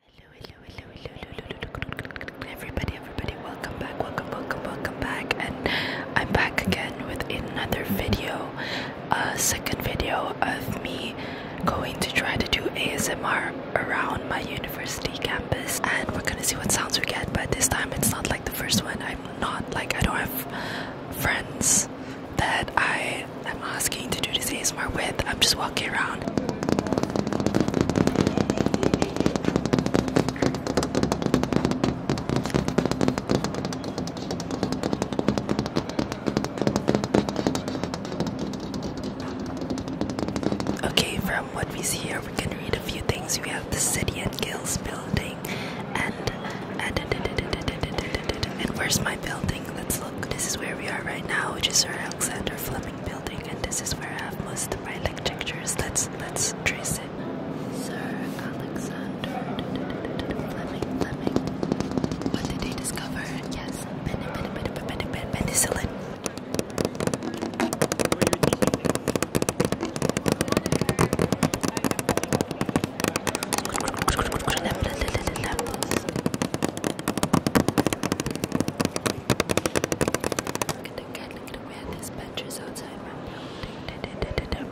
Hello, hello, hello, hello, hello, everybody, everybody, welcome back, welcome, welcome, welcome back, and I'm back again with another video, a second video of me going to try to do ASMR around my university campus, and we're gonna see what sounds we get, but this time it's not like the first one, I'm not, like, I don't have friends that I I'm asking to do this ASMR with. I'm just walking around. Okay, from what we see here, we can read a few things. We have the City and Guilds building, and and, and, and, and where's my building? Let's look. This is where we are right now, which is Alexander Fleming building, and this is where I have most of my like pictures. Let's let's trace it. Sir Alexander Fleming Fleming. What did they discover? Yes, penicillin. Look at the cat, look at the man. This bench is outside my building.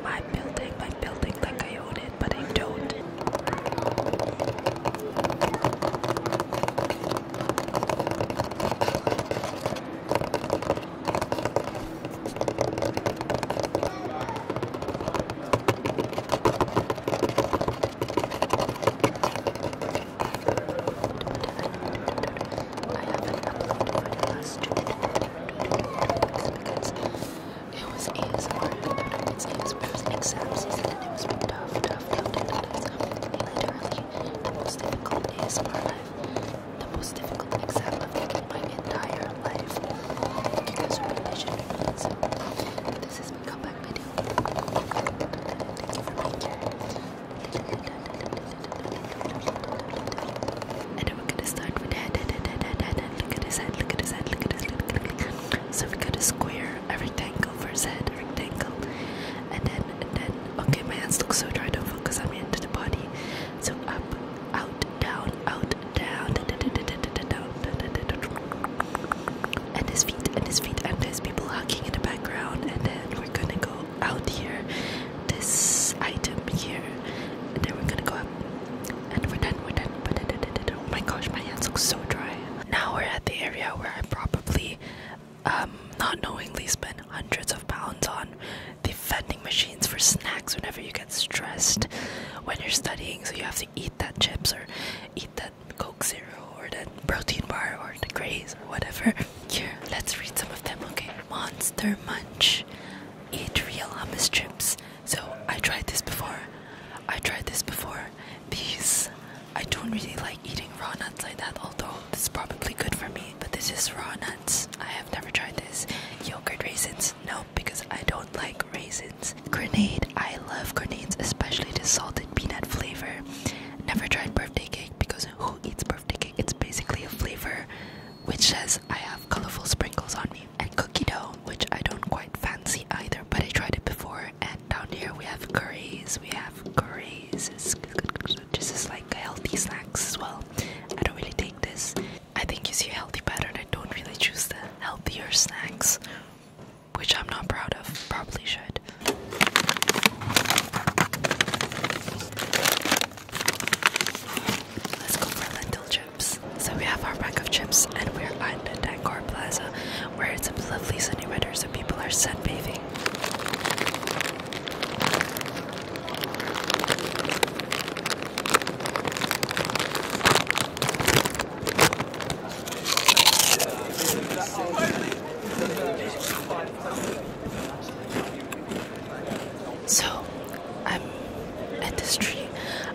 My building, building, like I own it, but I don't haven't uploaded my last two because it was ASMR, it was ASMR, it was exam season and it was tough, tough, tough, tough, tough. Literally, the most difficult ASMR life, the most difficult exam I've taken my entire life. You guys are really should be so this has become back And we're gonna start with head, head, head, head, head, head. Look at his head, look at his head, look at his head. Look at his head. So we got a square, a rectangle for his head, a rectangle. And then, and then, okay, my hands look so dry, don't focus on me into the body. So up, out, down, out, down, and his feet, and his feet, and there's people hugging in the background. And then we're gonna go out here, this item here, and then we're gonna go up, and we're done, we're done. Oh my gosh, my hands look so dry. Now we're at the area where I probably, um, not knowingly spent hundreds of pounds on the vending machines for snacks whenever you get stressed when you're studying, so you have to eat that chips or eat that Coke Zero or that protein bar or the Grays or whatever. Here, let's read some of them, okay? Monster Munch. Eat real hummus chips. So I tried this before. I tried this before. These I don't really like eating raw nuts like that, although this is probably good for me. But this is raw nuts. I have never tried this. Yogurt raisins. No, because I don't like raisins. Grenade. I love grenades, especially the salted peanut flavor. Never tried birthday cake because who eats birthday cake? It's basically a flavor which says I have colorful sprinkles on me. And cookie dough, which I don't quite fancy either, but I tried it before. And down here we have curries. We have curries. This is like healthy snacks as well. I don't really take this. I think you see healthy pattern. I don't really choose the healthier snacks, which I'm not proud of. Probably should. Let's go for lentil chips. So we have our pack of chips, and we're at the Dancor Plaza, where it's a lovely sunny weather, so people are sun bathing. So, I'm at this tree.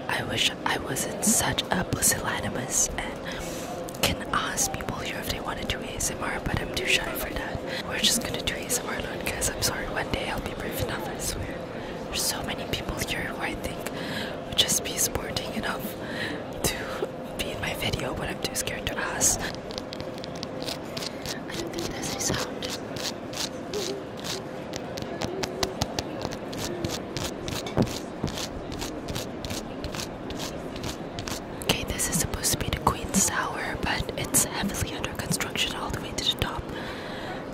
I wish I wasn't such a pusillanimous and can ask people here if they wanted to do ASMR, but I'm too shy for that. We're just gonna do ASMR alone, because I'm sorry. One day I'll be brave enough, I swear. There's so many people here who I think would just be sporting enough to be in my video, but I'm too scared to ask. I don't think there's any sound. Okay, this is supposed to be the Queen's Tower, but it's heavily under construction all the way to the top.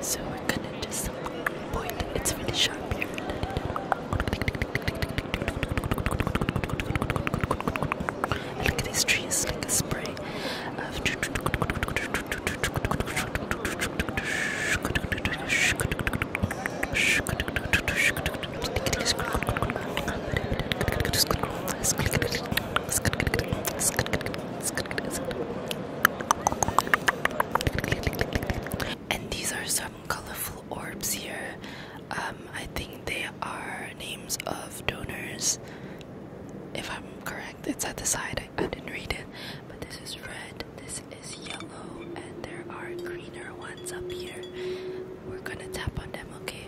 So we're gonna just point. It's really sharp here. And look at these trees, like a spray of. And these are some colorful orbs here. Um, I think they are names of donors. If I'm correct, it's at the side. I, I didn't read it. But this is red, this is yellow, and there are greener ones up here. We're gonna tap on them, okay?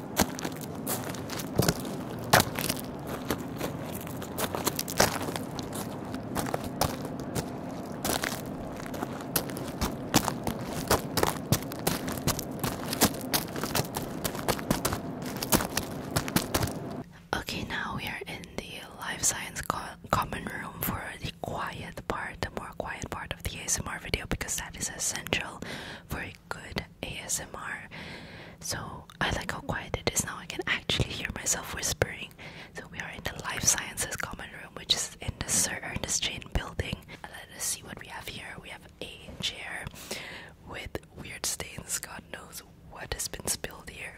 Okay, now we are in the life science common room for the quiet quiet part, the more quiet part of the ASMR video because that is essential for a good ASMR. So I like how quiet it is now. I can actually hear myself whispering. So we are in the life sciences common room, which is in the Sir Ernest Chain building. Let us see what we have here. We have a chair with weird stains. God knows what has been spilled here.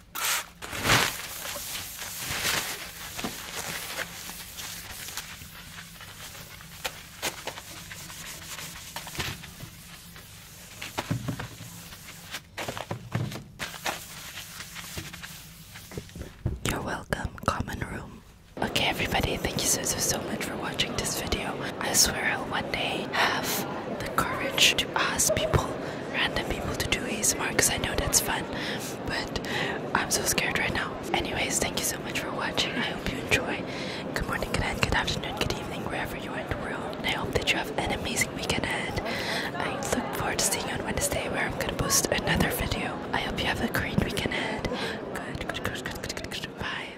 You're welcome, common room. Okay everybody, thank you so so so much for watching this video. I swear I'll one day have the courage to ask people, random people, to do ASMR because I know that's fun. But I'm so scared right now. Anyways, thank you so much for watching. I hope you enjoy. Good morning, good night, good afternoon, good evening, wherever you are in the world. I hope that you have an amazing weekend ahead. I look forward to seeing you on Wednesday where I'm gonna post another video. I hope you have a great weekend ahead. Good, good, good, good, good, good, good. Bye.